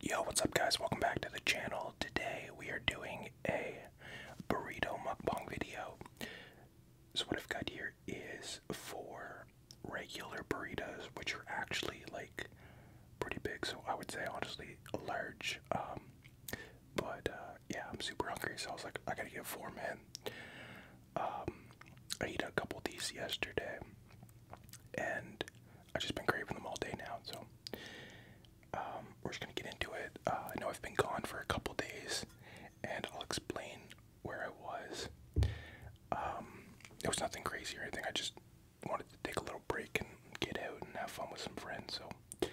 Yo, what's up guys? Welcome back to the channel. Today we are doing a burrito mukbang video. So what I've got here is four regular burritos, which are actually like pretty big. So I would say honestly large. Um, but uh, yeah, I'm super hungry, so I was like, I gotta get four, man. Um, I ate a couple of these yesterday, and I've just been craving them all day now, so um, we're just gonna get into it. Uh, I know I've been gone for a couple days, and I'll explain where I was. Um, it was nothing crazy or anything. I just wanted to take a little break and get out and have fun with some friends. So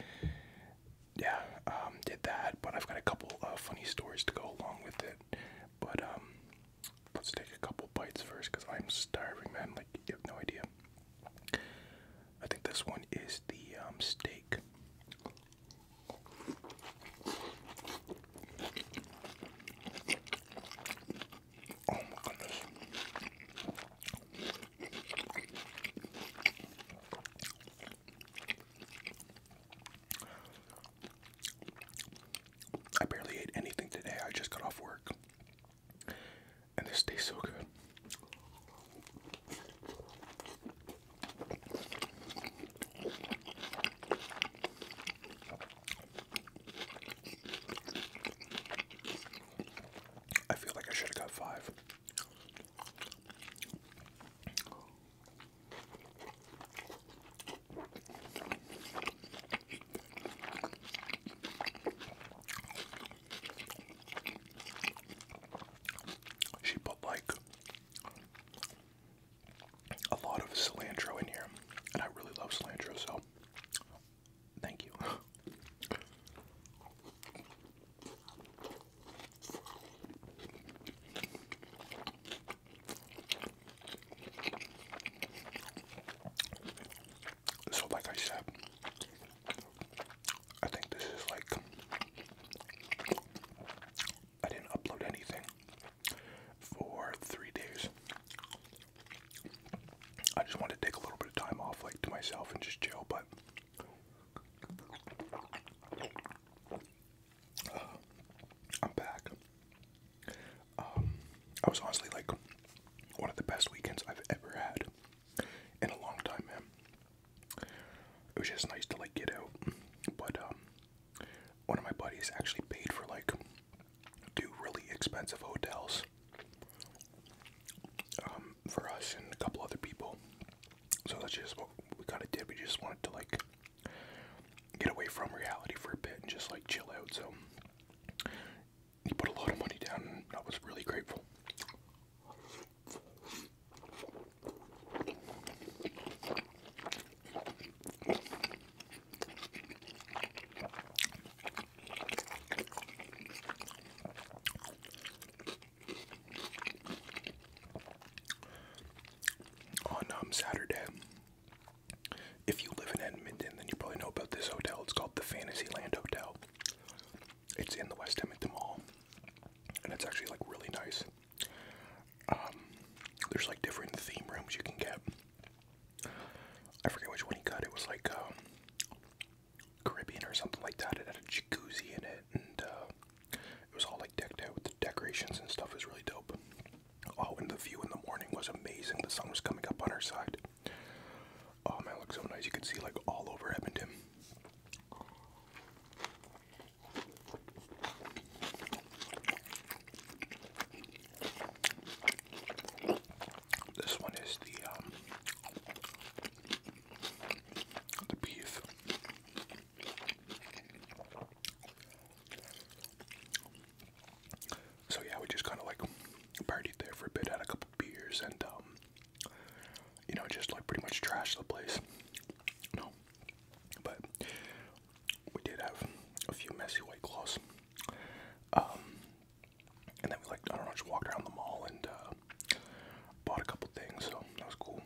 yeah, um, did that. But I've got a couple of funny stories to go along with it. But um, Let's take a couple bites first because I'm starving, man. Like, you have no idea. I think this one is the um, steak. Oh my goodness. I barely ate anything today. I just got off work and this taste so good. I feel like I should have got five. She put like a lot of cilantro in here, and I really love cilantro, so thank you. So, like I said, I think this is like I didn't upload anything for three days. I just wanted to take a little bit of time off, like to myself, and just chill, but. Uh, I'm back. Um, I was honestly like one of the best weekends I've ever had in a long time, man. It was just nice to like get out, but um, one of my buddies actually paid for like two really expensive hotels um, for us and a couple other people. So that's just what we kind of did. We just wanted to like get away from reality for a bit and just like chill out. So he put a lot of money down, I was really grateful. On um, Saturday, if you live in Edmonton, then you probably know about this hotel. It's called the Fantasyland Hotel. It's in the West Edmonton Mall, and it's actually like really nice. Um, there's like different theme rooms you can get. I forget which one he got. It was like um, Caribbean or something like that. It had a jacuzzi in it, and uh, it was all like decked out with the decorations and stuff. was really dope. Oh, and the view in the morning was amazing. The sun was coming up on our side. Oh man, looks so nice. You can see like all over Edmonton. This one is the um the beef. So yeah, we just kind of like partied there for a bit, had a couple beers, and um, you know, just like pretty much trashed the place. No, but we did have a few messy white claws. Um, and then we like I don't know, just walked around the mall and uh, bought a couple things, so that was cool.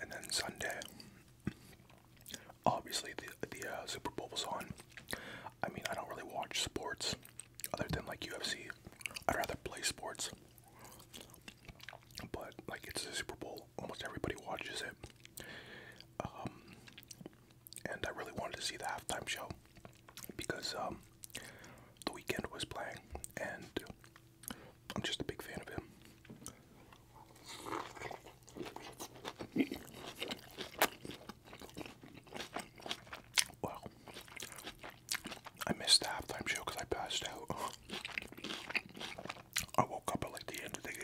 And then Sunday, obviously the the uh, Super Bowl is on. I mean, I don't really watch sports other than like UFC. I'd rather play sports. But like it's the Super Bowl, almost everybody watches it. Um, and I really wanted to see the halftime show because um, the weekend was playing, and I'm just a big fan of him. Well, I missed the halftime show because I passed out. I woke up at like the end of the game.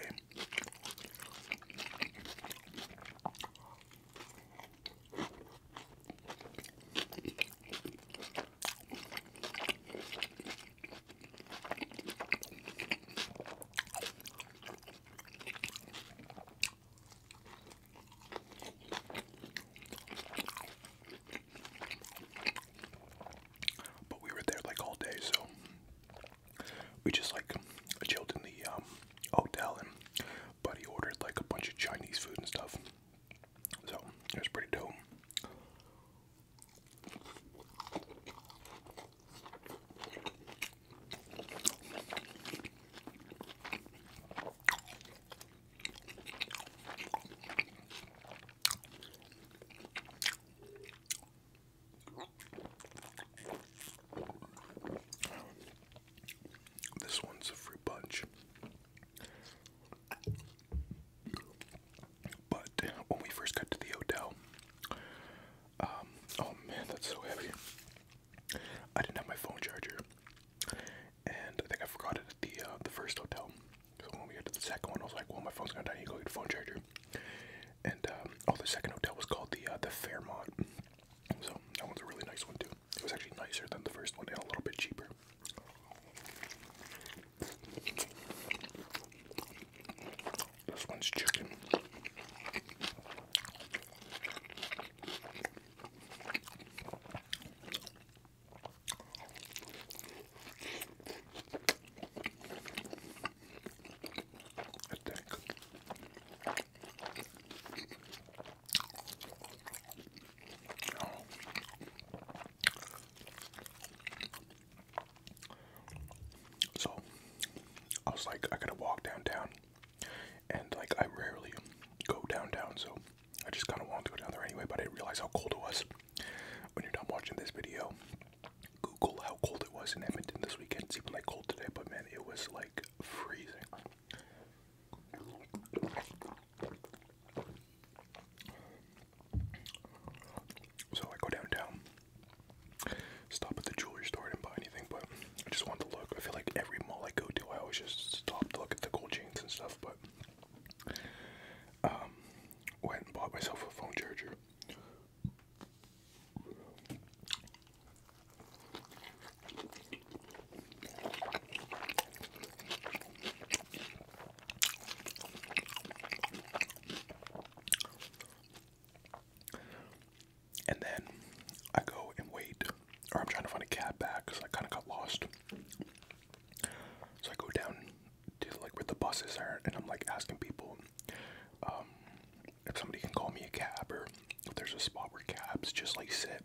But we were there like all day, so we just like chilled in the um, hotel, and he ordered like a bunch of Chinese food and stuff. So it was pretty dope. This one's a free punch. But when we first got to the hotel, um, oh man, that's so heavy. I didn't have my phone charger, and I think I forgot it at the uh, the first hotel. So when we got to the second one, I was like, "Well, my phone's gonna die. I need to go get a phone charger." And uh, oh, the second hotel was called the uh, the Fairmont. So that was a really nice one too. It was actually nicer than the first one and a little bit cheaper. This one's chicken. I So I was like, I gotta walk downtown, and like I rarely go downtown, so I just kind of wanted to go down there anyway. But I did how cold it was. When you're done watching this video, Google how cold it was in Edmonton this weekend. It's even like cold today, but man, it was like freezing. So I go downtown, stop at the jewelry store, I buy anything, but I just wanted to look. I feel like every mall I go to, I always just stop to look at the gold chains and stuff, but um, went and bought myself a phone charger. And then I go and wait, or I'm trying to find a cab back because I kind of got lost. So I go down to like where the buses are, and I'm like asking people um, if somebody can call me a cab or if there's a spot where cabs just like sit.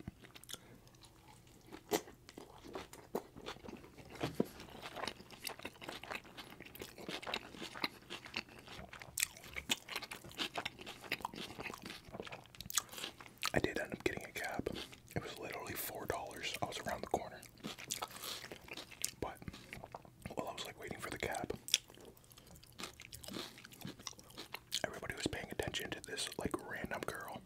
I did end up getting a cab. It was literally $4. I was around the corner. But while I was like waiting for the cab, everybody was paying attention to this like random girl.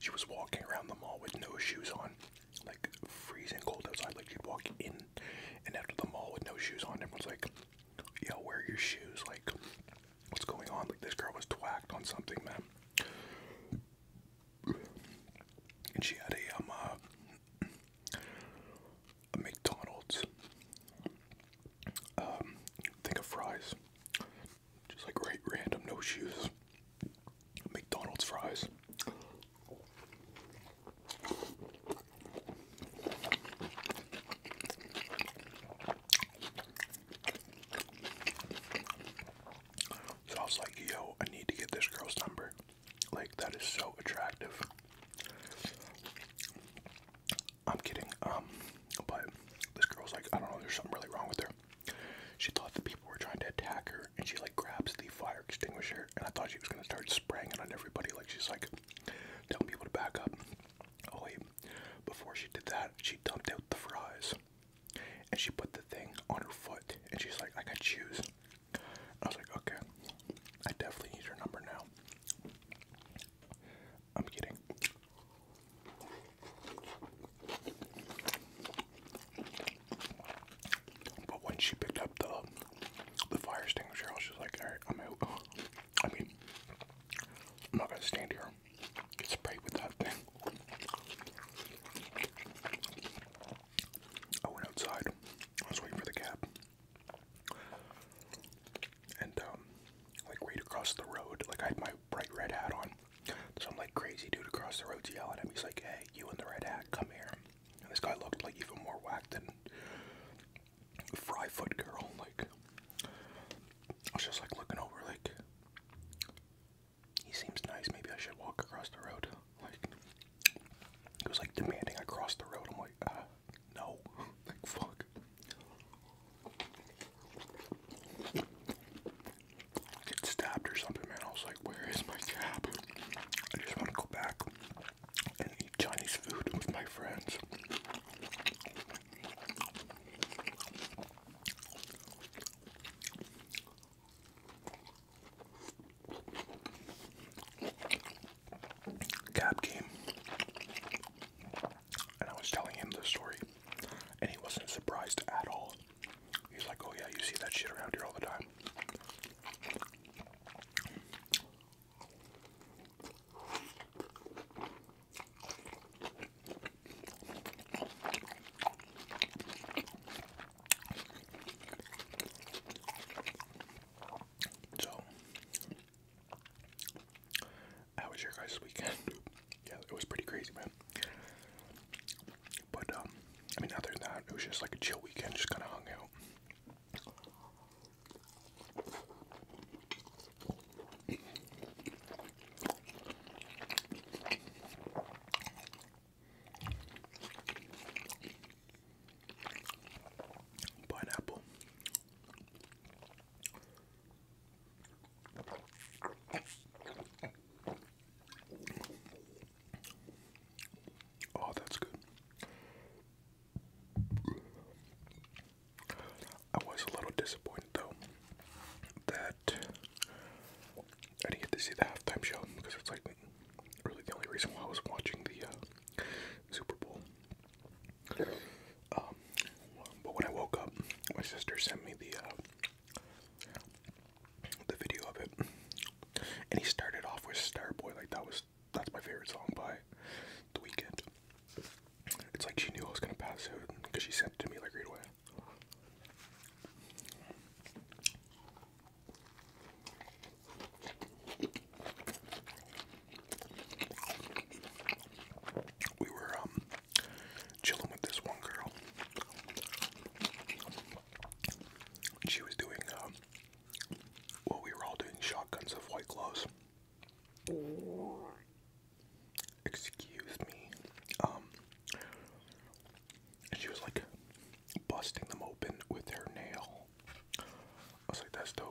She was walking around the mall with no shoes on, like freezing cold outside. Like she'd walk in and out of the mall with no shoes on. Everyone's like, "Yo, where are your shoes? Like, what's going on?" Like this girl was twacked on something, man and she had a um, uh, McDonald's um of fries just like right random no shoes McDonald's fries so I was like, yo, I need to get this girl's number. Like, that is so attractive. I'm kidding. Um, but this girl's like, I don't know, there's something really wrong with her. She thought the people were trying to attack her, and she like grabs the fire extinguisher, and I thought she was gonna start spraying it on everybody. Like she's like, telling people to back up. Oh wait, before she did that, she dumped out the fries. And she put the thing on her foot and she's like, I got shoes. I was like, okay, I definitely need her number now. I'm kidding. But when she picked up the the fire extinguisher, I was like, alright, I'm out. I mean, I'm not gonna stand here Get sprayed with that thing. I went outside. I was waiting for the cab. And, um, like right across the road, like I had my bright red hat on. Some like crazy dude across the road yelling at me. He's like, hey, you in the red hat, come here. And this guy looked like even more whacked than Fryfoot Girl. Like, I was just like looking over, like, he seems nice. Maybe I should walk across the road. Like he was like demanding I cross the road. I'm like, uh, no. like fuck. I get stabbed or something, man. I was like, where is my cab? I just want to go back and eat Chinese food with my friends. Cab came and I was telling him the story, and he wasn't surprised at all. He's like, Oh, yeah, you see that shit around here all the time. So, how was your guys' weekend? yeah, it was pretty crazy, man. But, um, I mean, other than that, it was just like a chill weekend, just kind of hung out. Pineapple. Oh, that's good. I was a little disappointed though that I didn't get to see the halftime show because it's like really the only reason why I was watching the uh, Super Bowl. Um, but when I woke up, my sister sent me the uh, the video of it, and he started off with Starboy, like that was that's my favorite song by The Weekend. It's like she knew I was gonna pass out because she sent it to me like right away. We were um, chilling with this one girl. She was doing um we were all doing shotguns of white claws excuse me, um, she was like busting them open with her nail. I was like, that's dope.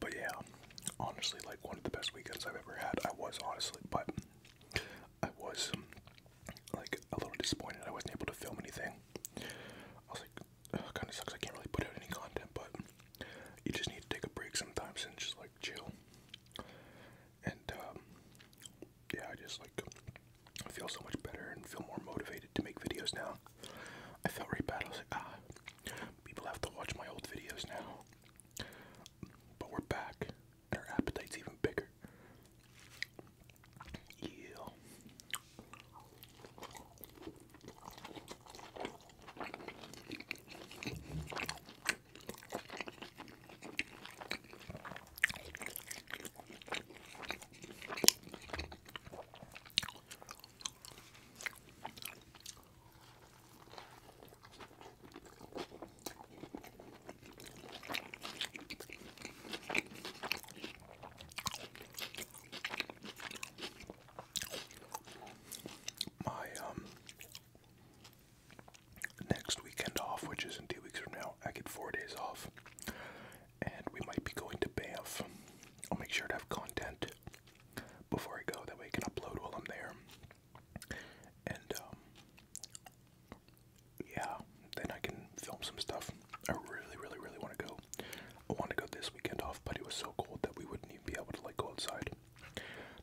But yeah, honestly, like one of the best weekends I've ever had. I was honestly, but I was um, like a little disappointed. I wasn't able to film anything. I was like, kind of sucks. I can't really put out any content, but you just need to take a break sometimes and just like chill. And um, yeah, I just like I feel so much better and feel more motivated to make videos now. I felt really bad. I was like, ah, People have to watch my old videos now. But we're back, and our appetite's even bigger. My um, next weekend off, which is in two weeks from now, I get four days off. And we might be going to Bay Banff. I'll make sure to have content before I go. That way I can upload while I'm there. And, um, yeah, then I can film some stuff. I really, really, really want to go. I want to go this weekend off, but it was so cold that we wouldn't even be able to, like, go outside.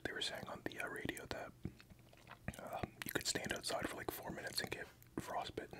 They were saying on the uh, radio that um, you could stand outside for like four minutes and get frostbitten.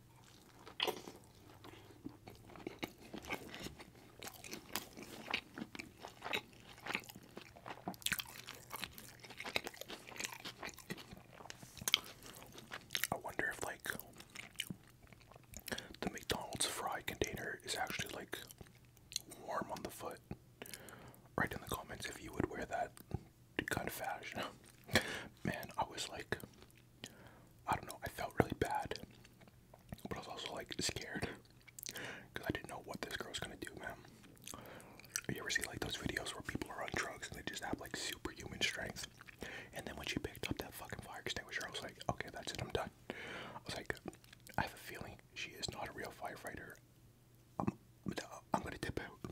I wonder if like the McDonald's fry container is actually like warm on the foot. Write in the comments if you would wear that kind of fashion. Man, I was like, I don't know, I felt really bad, but I was also like scared because I didn't know what this girl's gonna do, man. You ever see like those videos where people are on drugs and they just have like superhuman strength? And then when she picked up that fucking fire extinguisher, I was like, okay, that's it, I'm done. I was like, I have a feeling she is not a real firefighter. I'm, I'm gonna tip out.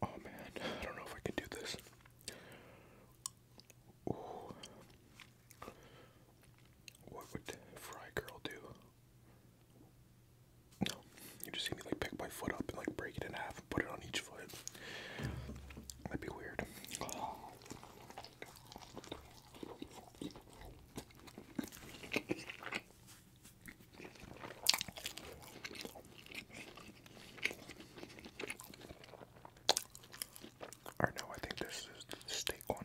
Oh man, I don't know if I can do this. What would Fry Girl do? No, you just see me like pick my foot up and like break it in half and put it on each foot. That'd be weird. Oh. no, I think this is steak one.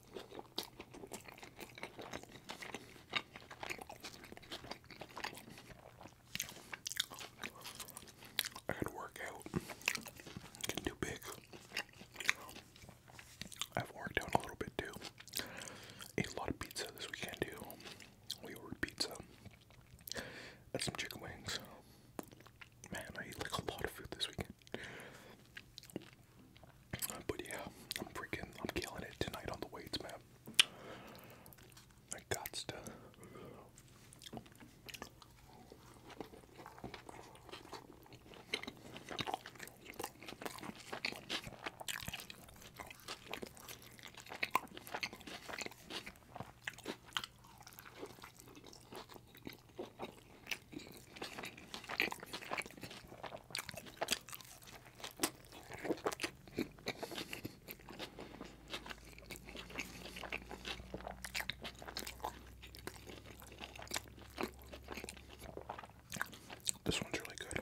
I gotta work out. Getting too big. I've worked out a little bit too. Ate a lot of pizza this weekend We ordered pizza and some chicken wings. Man, I ate like a lot of food this weekend. But yeah, I'm freaking, I'm killing it tonight on the weights, man. I got to. This one's really good.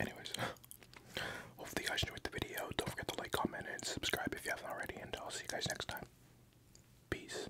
Anyways, hopefully you guys enjoyed the video. Don't forget to like, comment, and subscribe if you haven't already, and I'll see you guys next time. Peace.